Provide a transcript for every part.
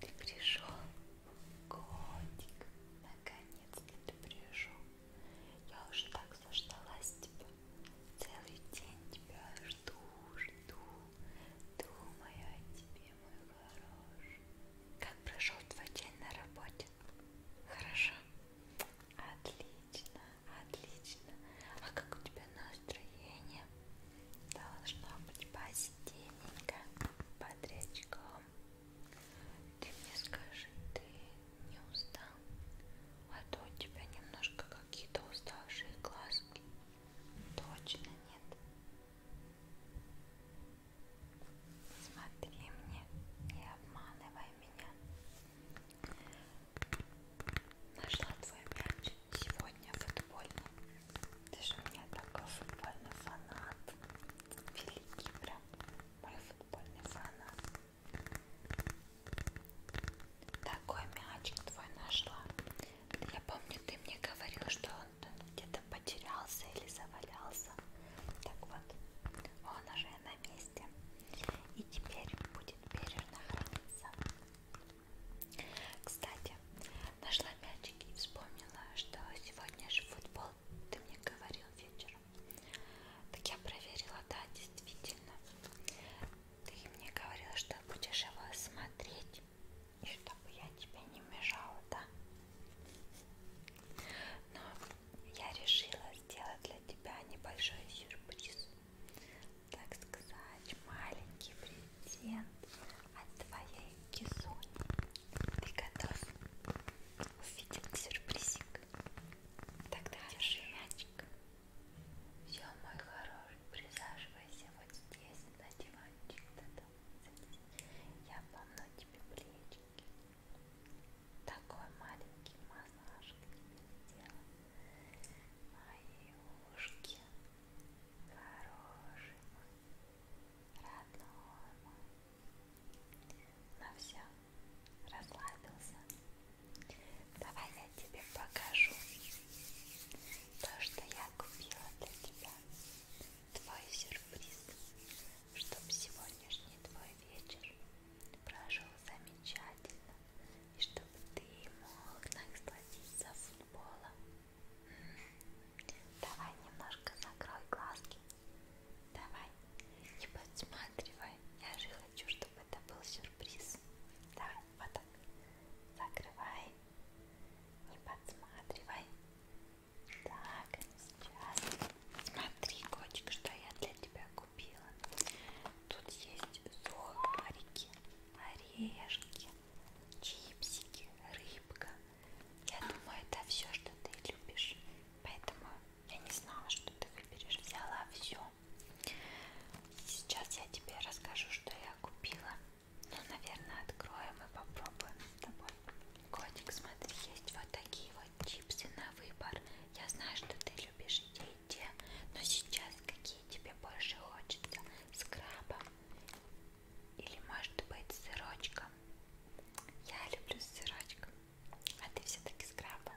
Ты пришел, котик, наконец-то ты пришел. Я уже так заждалась тебя. Целый день тебя жду, жду. Думаю о тебе, мой хороший. Как прошел твой день на работе? Хорошо. Отлично, отлично. А как у тебя настроение? Должно быть посетенненько. Бодрячком. Ты мне скажи, ты не устал? А то у тебя немножко какие-то уставшие глазки. Точно нет. Смотри мне, не обманывай меня. Нашла твой мяч сегодня футбольный. Ты же у меня такой футбольный фанат. Великий прям мой футбольный фанат. Такой мячик твой нашла. Я помню, ты мне говорил, что он где-то потерялся или завалялся. Так вот, он уже на месте. И теперь будет бережно храниться. Кстати, нашла мячик и вспомнила, что сегодня же футбол ты мне говорил вечером. Так я проверила, да, действительно. Ты мне говорила, что будешь его смотреть, и чтобы я тебе не мешала, да? Но я решила сделать для тебя небольшой сюрприз. Так сказать, маленький презент от твоей кисуни. Ты готов увидеть сюрпризик? мячик. Тогда держи мячик. Все, мой хороший, присаживайся вот здесь на диванчик. Тогда. Я помну тебе плечики. Такой маленький массаж тебе сделал. Мои ушки. Хороший мой, родной мой. Ну все, расслабился. Давай я тебе покажу то, что я купила для тебя. Твой сюрприз, чтобы сегодняшний твой вечер прошел замечательно и чтобы ты мог насладиться футболом. Давай немножко закрой глазки Давай, не подсматривай. Я же хочу, чтобы это был сюрприз. Давай, вот так. Закрывай. Не подсматривай. Так, сейчас. Смотри, котик, что я для тебя купила. Тут есть сухарики, орешки, чипсики, рыбка, я думаю, это все, что ты любишь. Поэтому я не знала, что ты выберешь. Взяла все. Сейчас я тебе расскажу, что я купила. Ну, наверное, откроем и попробуем с тобой. Котик, смотри, есть вот такие вот чипсы на выбор. Я знаю, что ты любишь те и те, но сейчас какие тебе больше хочется? С крабом или может быть с сырочком. Я люблю с сырочком. А ты все-таки скрабы.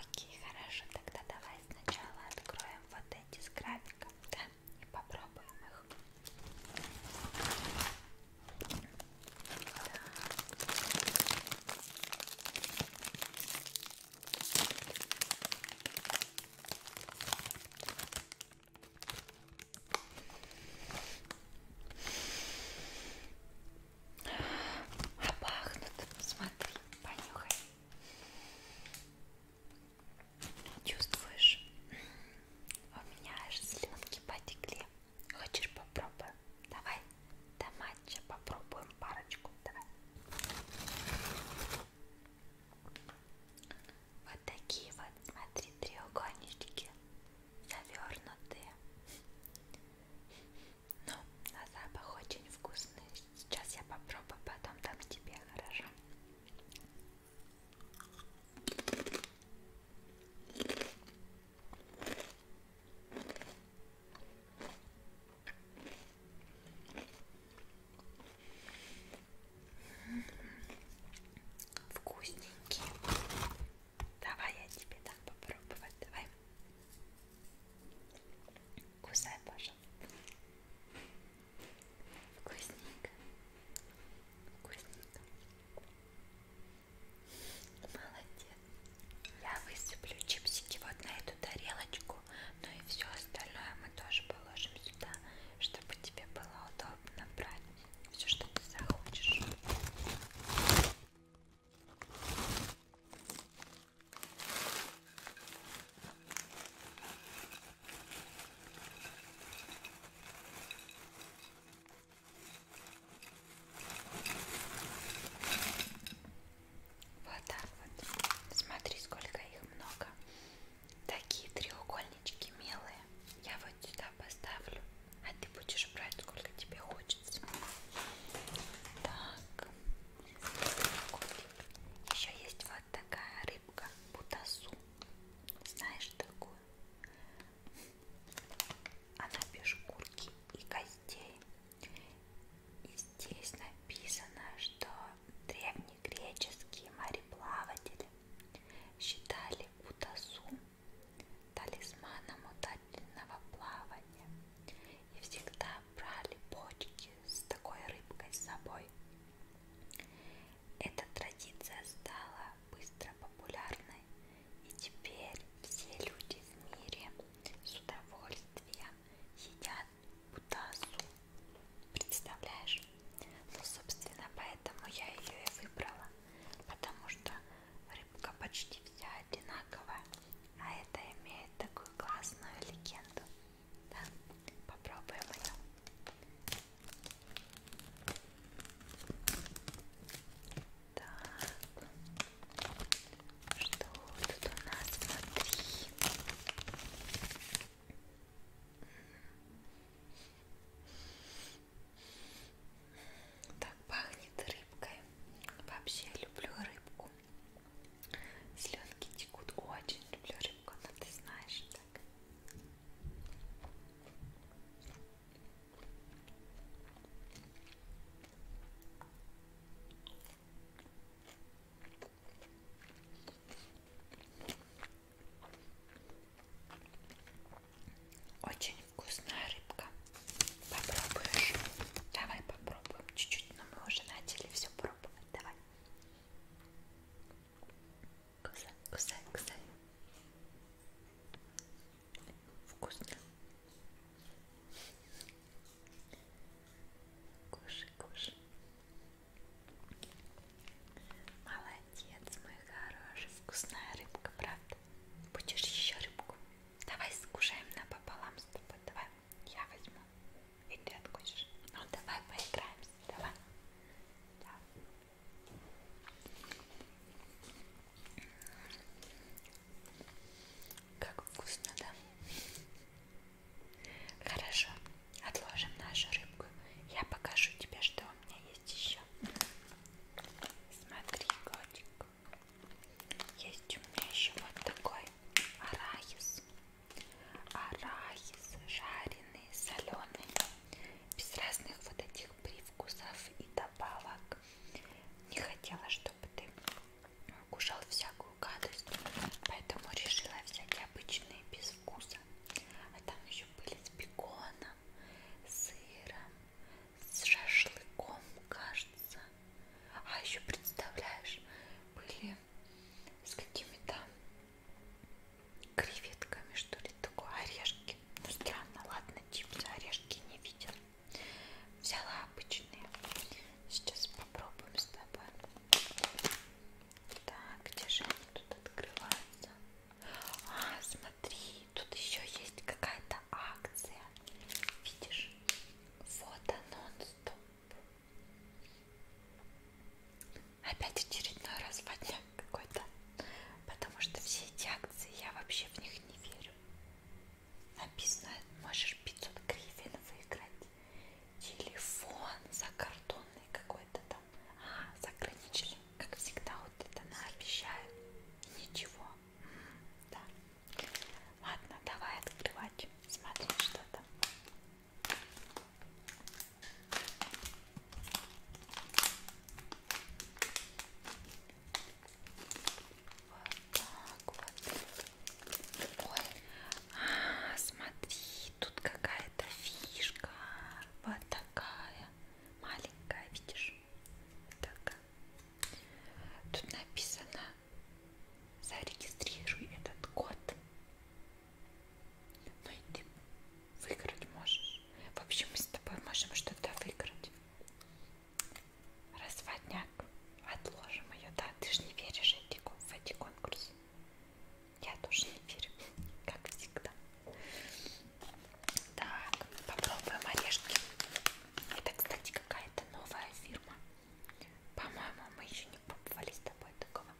Окей, хорошо. Тогда давай сначала откроем вот эти с графиком, да? И попробуем их. Так. А пахнут, смотри, понюхай. Чувствуешь? У меня аж слюнки потекли. Хочешь попробуем? Давай, до матча попробуем парочку. Давай. Вот такие вот, смотри, треугольнички завернутые. Ну, на запах очень вкусный. Сейчас я попробую, потом дам тебе, хорошо? Вкусненький. Давай я тебе так попробовать. Давай. Кусай, пожалуйста. Вкусненько. Вкусненько. Молодец. Я высыплю чипсики вот на эту тарелочку, ну и все остальное мы тоже положим сюда чтобы тебе было удобно брать все, что ты захочешь. Вот так вот. Смотри, сколько их много такие треугольнички милые. Я вот сюда поставлю, а ты будешь брать сколько тебе хочется. Так, еще есть вот такая рыбка бутасу. Знаешь такую? Она без шкурки и костей. И здесь написано, что древнегреческие мореплаватели считали удасу талисманом удачного плавания и всегда брали бочки с такой рыбкой с собой. Эта традиция стала быстро популярной, и теперь все люди в мире с удовольствием едят Бутасу. Представляешь? Ну, собственно, поэтому я ее и выбрала. Потому что рыбка почти вся одинаковая. А это имеет такую классную легенду. Да? Попробуем ее. Так. Что тут у нас? Смотри. Так пахнет рыбкой. Вообще люблю рыбку. Слюнки текут. Очень люблю рыбку, но ты знаешь так. Очень вкусная рыбка. Попробуешь? Давай попробуем чуть-чуть, но мы уже начали все пробовать. Давай. Кусай, кусай, кусай. Вкусно. Кушай, кушай. Молодец, мой хороший. Вкусная рыбка, правда? Будешь еще рыбку? Давай скушаем напополам с тобой. Давай, я возьму. И ты откусишь. Ну, давай поиграемся. Давай. Да. Как вкусно, да? Хорошо, отложим нашу рыбку. Я покажу тебе, что у меня есть еще. Смотри, котик. Есть у меня еще вот такой арахис. Арахис жареный, соленый. Без разных вот этих привкусов и добавок. Не хотела, чтобы ты кушал всякую гадость, поэтому решила взять обычные без вкуса. А там еще были с беконом, сыром, с шашлыком, кажется. А еще представляешь, были с какими-то креветками, что ли, такое, орешки. Ну странно, ладно, чипсы, орешки не видела. Взяла обычные. Сейчас попробуем с тобой. Так, где же они тут открываются? А, смотри, тут еще есть какая-то акция. Видишь? Фото нон-стоп. Опять очередной раз поднял какой-то. Потому что все эти акции, я вообще в них не верю. Написано, можешь 500 гривен выиграть телефон за картонный какой-то там, а, заграничный, как всегда, вот это она обещает, ничего, да, ладно, давай открывать, смотреть что там. Вот так вот. Ой. А, смотри, тут какая-то фишка. Вот такая. Маленькая, видишь? Так. Тут написано зарегистрируй этот код. Ну и ты выиграть можешь. В общем, мы с тобой можем что-то выиграть. Разводняк. Отложим ее, да? Ты же не веришь в эти конкурсы. Я тоже не верю, как всегда. Так, попробуем орешки. Это, кстати, какая-то новая фирма. По-моему, мы еще не пробовали с тобой такого.